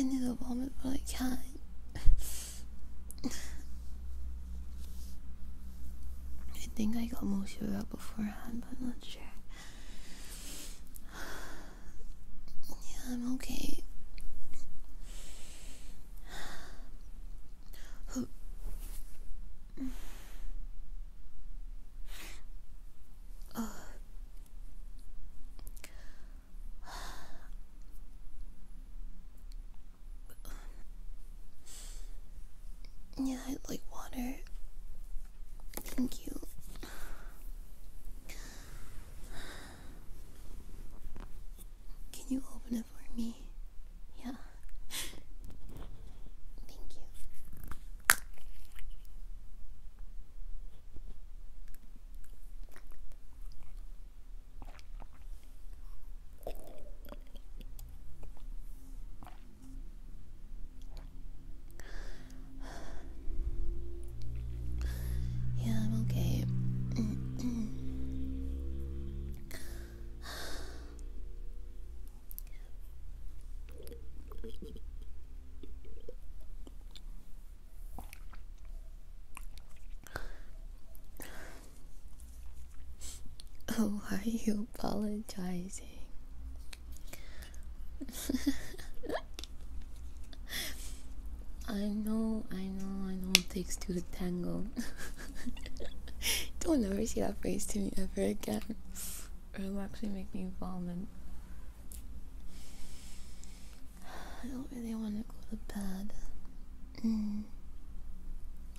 I need a moment, but I can't. I think I got most of it up beforehand, but I'm not sure. Yeah, I'm okay. Yeah, i like water. Thank you. Can you open it for me? Yeah. Thank you. Yeah, I'm okay. Oh, are you apologizing? I know, I know, I know it takes two to tango. Don't ever see that phrase to me ever again. It'll actually make me vomit. I don't really want to go to bed. Mm.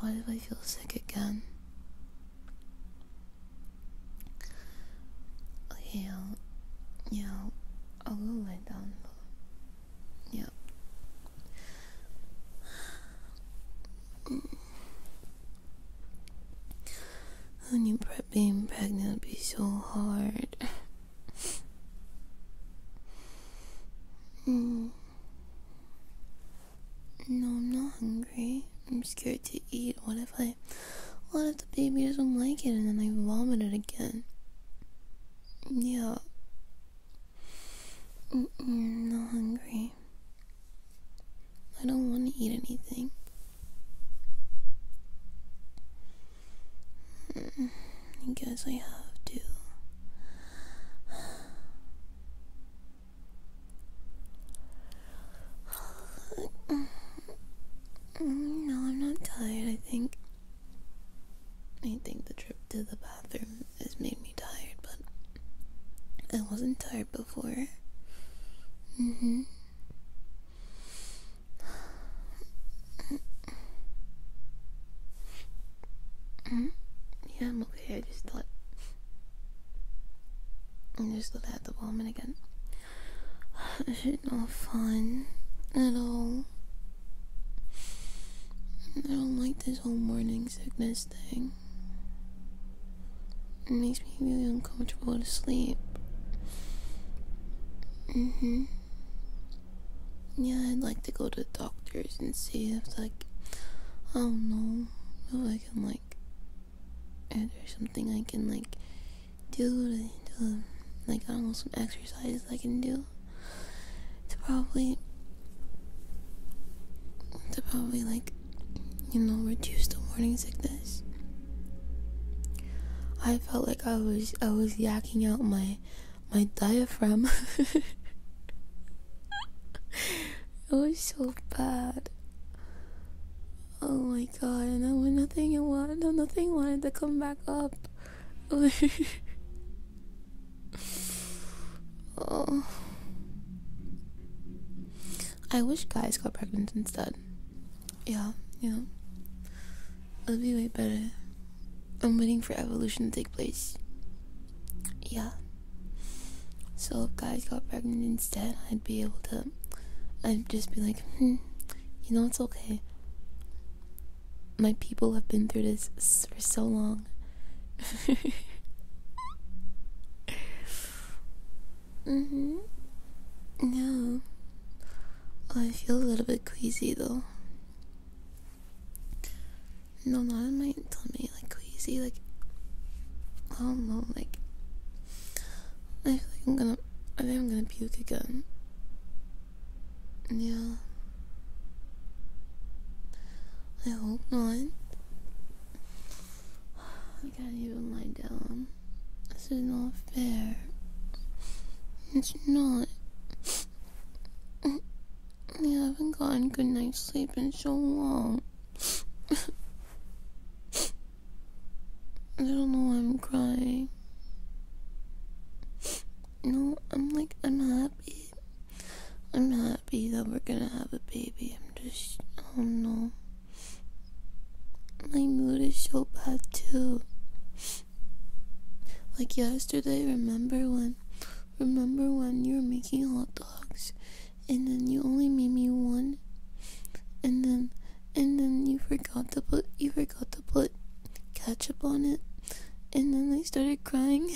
What if I feel sick again? Okay, yeah, I'll, go lay down. Yeah. Mm. I knew being pregnant would be so hard. Mm. No, I'm not hungry. I'm scared to eat. What if I. What if the baby doesn't like it and then I vomit it again? Yeah. Mm -mm, not hungry. I don't want to eat anything. Mm. I guess I have to. no, I'm not tired. I think. I think the trip to the bathroom has made me tired, but I wasn't tired before. Mm hmm. Mm-hmm. Yeah, I'm okay. I just thought. I am just thought I had the vomit again. This is not fun at all. I don't like this whole morning sickness thing. It makes me really uncomfortable to sleep. hmm. Yeah, I'd like to go to the doctors and see if, like, I don't know, if I can, like, if there's something I can, like, do to, like, I don't know, some exercises I can do to probably, to probably, like, you know, reduce the morning sickness. I felt like I was I was yacking out my my diaphragm. it was so bad. Oh my god, and I was nothing I wanted nothing wanted to come back up. oh. I wish guys got pregnant instead. Yeah, yeah. It'll be way better. I'm waiting for evolution to take place. Yeah. So if guys got pregnant instead, I'd be able to. I'd just be like, hmm, you know, it's okay. My people have been through this for so long. mhm. No. I feel a little bit queasy though. No, not in my tummy, like queasy, like I don't know, like I feel like I'm gonna I think I'm gonna puke again. Yeah. I hope not. I can't even lie down. This is not fair. It's not. I haven't gotten good night's sleep in so long. I don't know why I'm crying. No, I'm like, I'm happy. I'm happy that we're gonna have a baby. I'm just, I don't know. My mood is so bad too. Like yesterday, remember when remember when you were making hot dogs and then you only made me one and then and then you forgot to put you forgot to put ketchup on it and then I started crying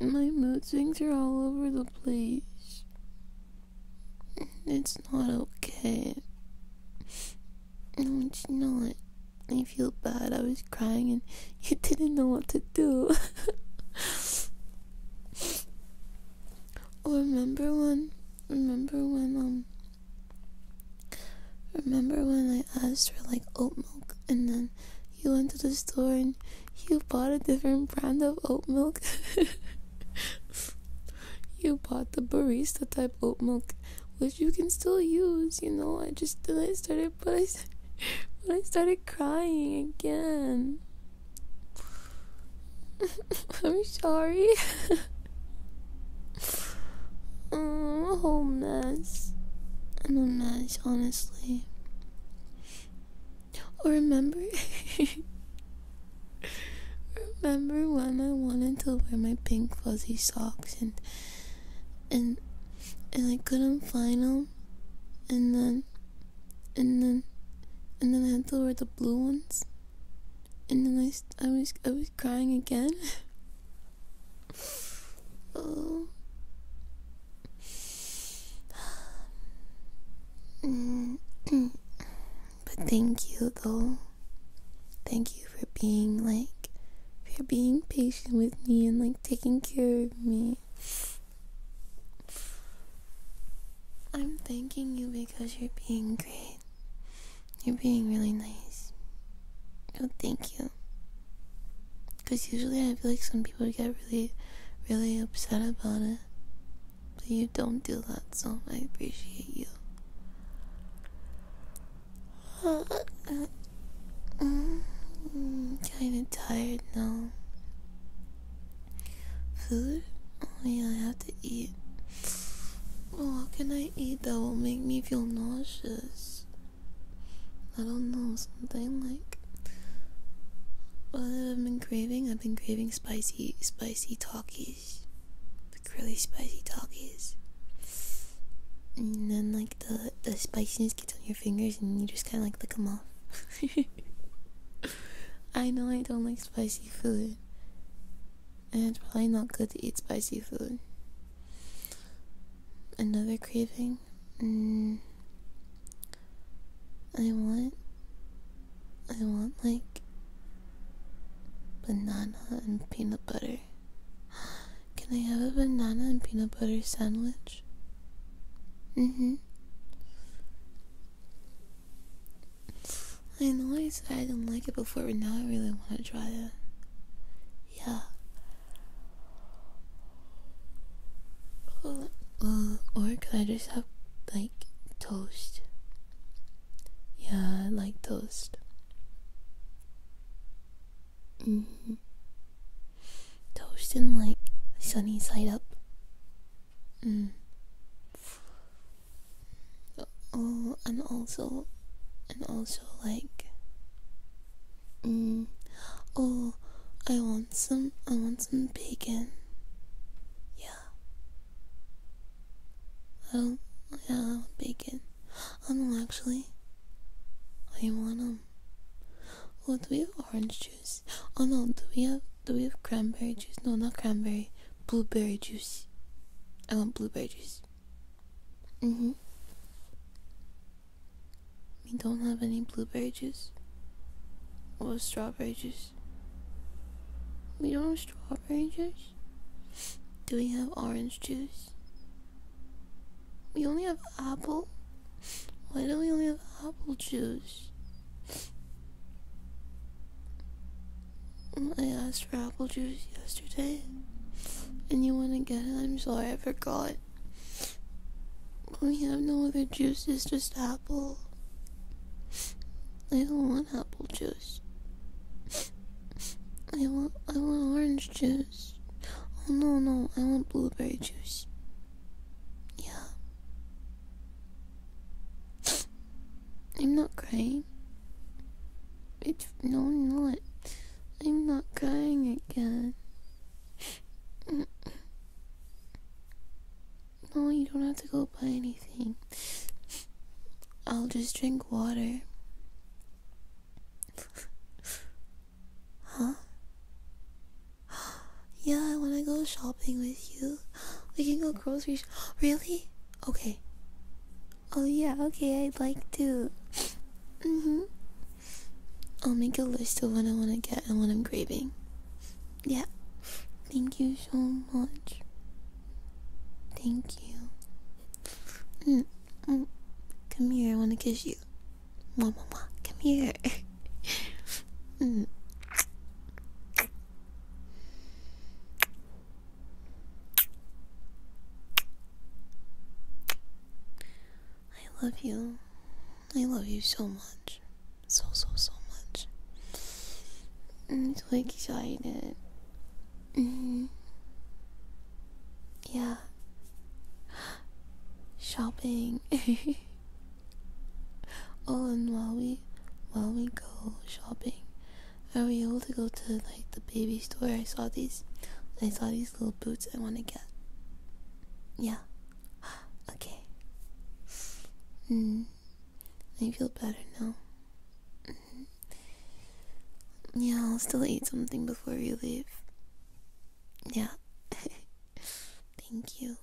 My mood swings are all over the place. It's not okay. No, it's not. I feel bad. I was crying and you didn't know what to do. or oh, remember when remember when um remember when I asked for like oat milk and then you went to the store and you bought a different brand of oat milk. you bought the barista type oat milk, you can still use, you know. I just then I started, but I, but I started crying again. I'm sorry. oh, whole mess. I'm a mess, honestly. Or remember, remember when I wanted to wear my pink fuzzy socks and and and I couldn't find them, and then and then and then I had to wear the blue ones, and then I I was I was crying again. oh. Mm. but thank you though. Thank you for being like, for being patient with me and like taking care of me. I'm thanking you because you're being great. You're being really nice. Oh, thank you. Because usually I feel like some people get really, really upset about it. But you don't do that, so I appreciate you. Kinda tired now. Food? Oh yeah, I have to eat. Oh, what can I eat that will make me feel nauseous? I don't know, something like what uh, I've been craving. I've been craving spicy, spicy talkie the really spicy doggies, and then like the the spiciness gets on your fingers and you just kind of like lick them off. I know I don't like spicy food, and it's probably not good to eat spicy food. Another craving. Mm. I want, I want like banana and peanut butter. Can I have a banana and peanut butter sandwich? Mm hmm. I know I said I didn't like it before, but now I really want to try it. Yeah. Uh, uh, or could I just have, like, toast? Yeah, like toast. Mm like sunny side up. Mm. Oh, and also, and also like. Mm. Oh, I want some. I want some bacon. Yeah. I Yeah, bacon. Oh um, no, actually, I want um. Oh, do we have orange juice? Oh no, do we have do we have cranberry juice? No, not cranberry. Blueberry juice. I want blueberry juice. Mhm. Mm we don't have any blueberry juice. Or strawberry juice. We don't have strawberry juice. Do we have orange juice? We only have apple? Why do we only have apple juice? Mm, I asked for apple juice yesterday. And you want to get it? I'm sorry, I forgot. We have no other juices, just apple. I don't want apple juice. I want I want orange juice. Oh no no, I want blueberry juice. Yeah. I'm not crying. It's no not. I'm not crying again. No, you don't have to go buy anything. I'll just drink water huh? yeah, I want to go shopping with you. We can go grocery Really? Okay. Oh yeah, okay, I'd like to. Mm-hmm. I'll make a list of what I want to get and what I'm craving. Yeah. Thank you so much. Thank you. Mm. Um, come here, I want to kiss you. Mwah, mwah, Come here. Mm. I love you. I love you so much. So, so, so much. I'm so excited. Mm-hmm. Yeah. Shopping. oh, and while we while we go shopping, are we able to go to like the baby store? I saw these. I saw these little boots I want to get. Yeah. Okay. Mm. I feel better now. Yeah, I'll still eat something before we leave. Yeah. Thank you.